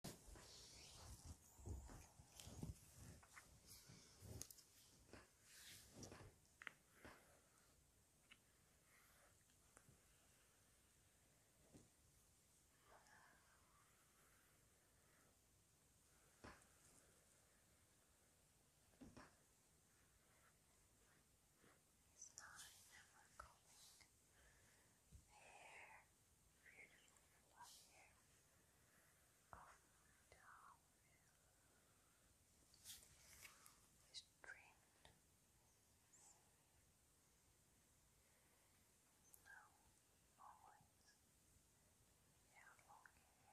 It's not ever going hair, beautiful fluff hair of down is trimmed. Now, always have long hair. Now,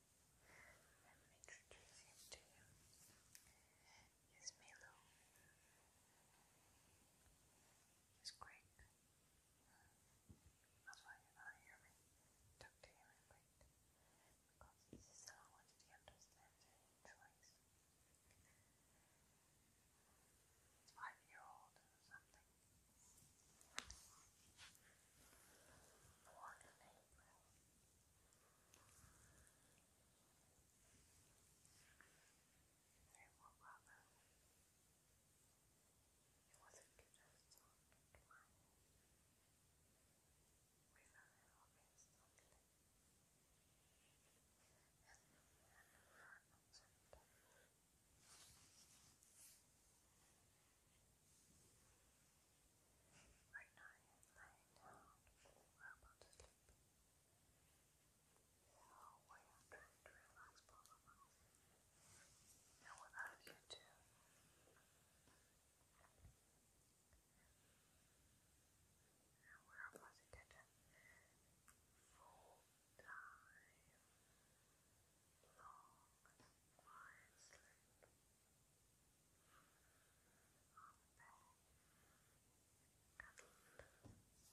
Let me introduce him to you. He's Milo. He's Greek. That's why you don't hear me talk Because this is the language he understands and five year old or something. Born in April. They were rather. It wasn't just on my we learned how based on it. And then her concept. It Right now, it's laying We're about to sleep. So, we are trying to relax both of us. you too. And we're about to get a full-time, long, quiet sleep. It's a wonderful tone, quite well behaved. He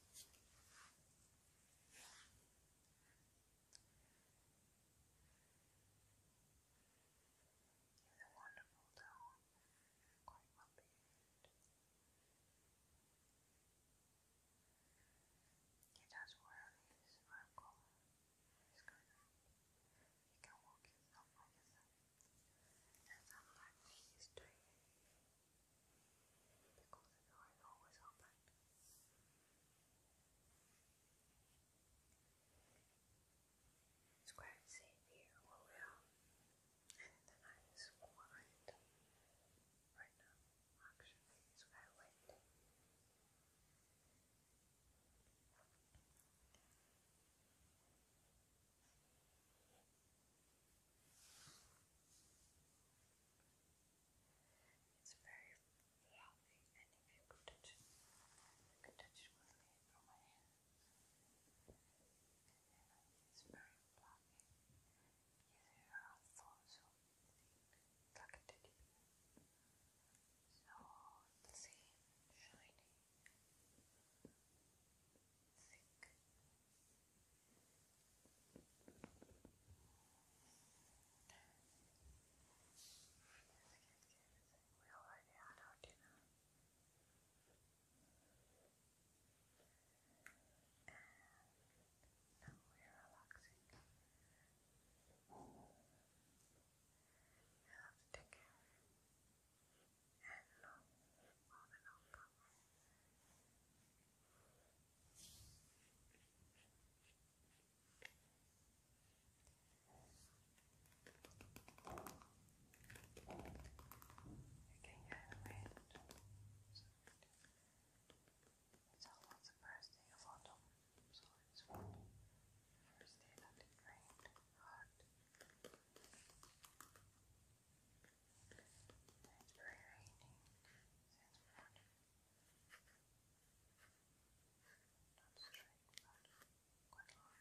does wear these around collars. You can walk yourself by yourself. And sometimes he's doing because the door always open. It's quite safe here where we are. And the night is quiet. Right now, actually, it's very windy. It's very fluffy, and if you could touch it, you could touch it with me from my hand. It's very fluffy. Yes, you are also thick, like a teddy bear. So the same shiny already had our dinner. And now we're relaxing. You have to take care of it. And love more than all power. Okay, yeah, wait. It's almost the first day of autumn, so it's First day that it rained hard. It's very rainy since morning. Not straight, but quite hard.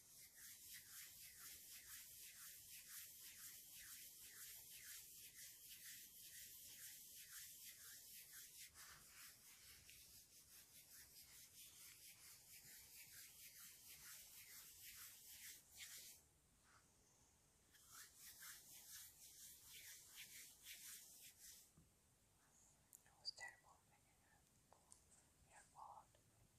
It was terrible, but you know, you're bored.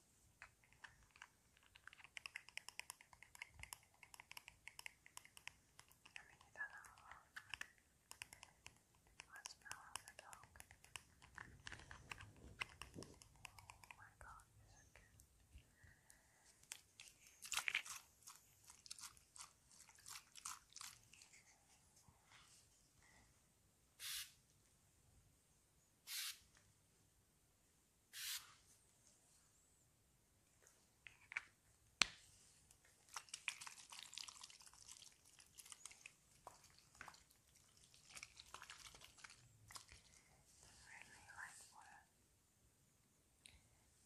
I mean, you don't know what smell of the dog. Oh my god, is it good? I really like water.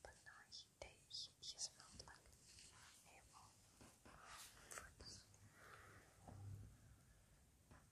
But now he, they, like apple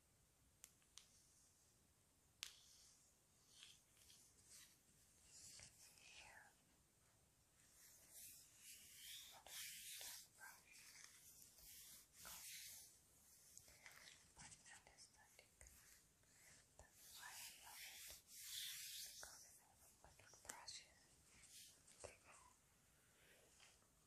Here. But anesthetic. That's why I love it. Because I have a bunch of brushes. They go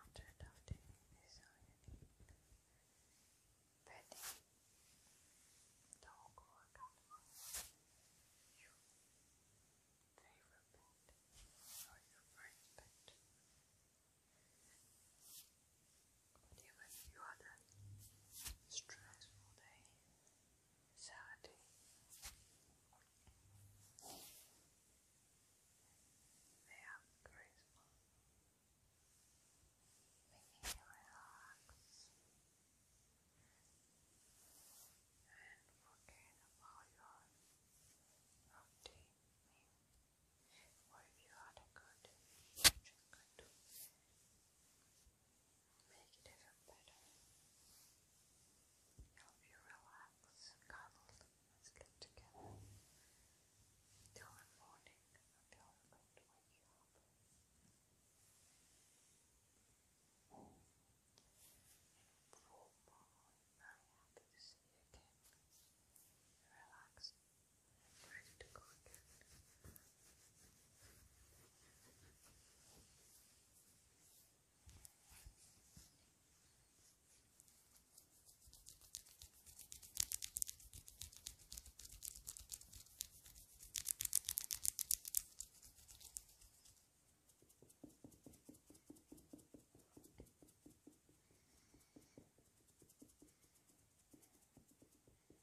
After adopting this all unique bedding, dog you your friend's pet. But even if you had a stressful day, sad day, they have charisma, making you relax and forget about your routine. Or if you had a good, such a good make it even better. Help you relax, cuddle, and sleep together until morning, I'm going to wake you up. I'm very happy to see you again. Relaxed where did it go again? There we go.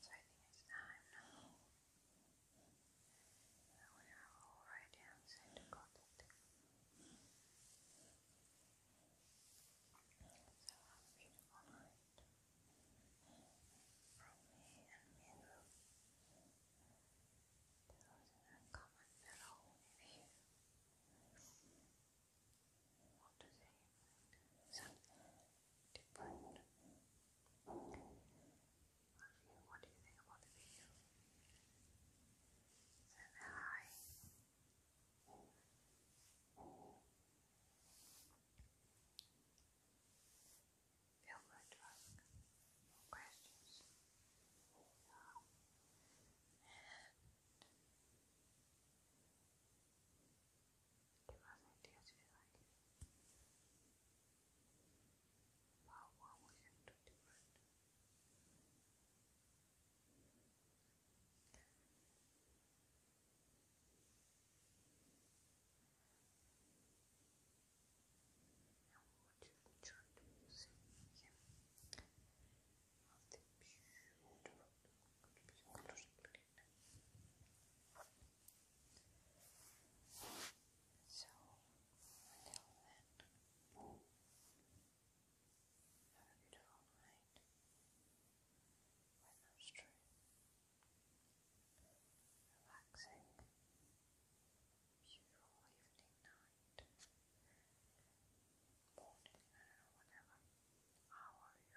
So I think it's time now. Now we are already outside the cottage. So have a beautiful from me and Miru. There was a comment below if you what do they Something different. what do you think about the video? Then hi. Feel free questions give us ideas if you like. we can do different. Now we will try to see him of the beautiful, beautiful, beautiful so, until then, have a beautiful night with no strain, relaxing, beautiful evening, night, morning, I don't know, whatever. How are you?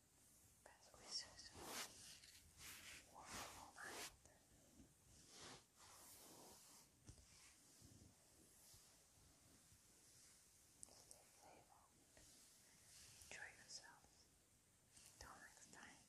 because we just night. Stay playful. Enjoy yourselves. Till next time.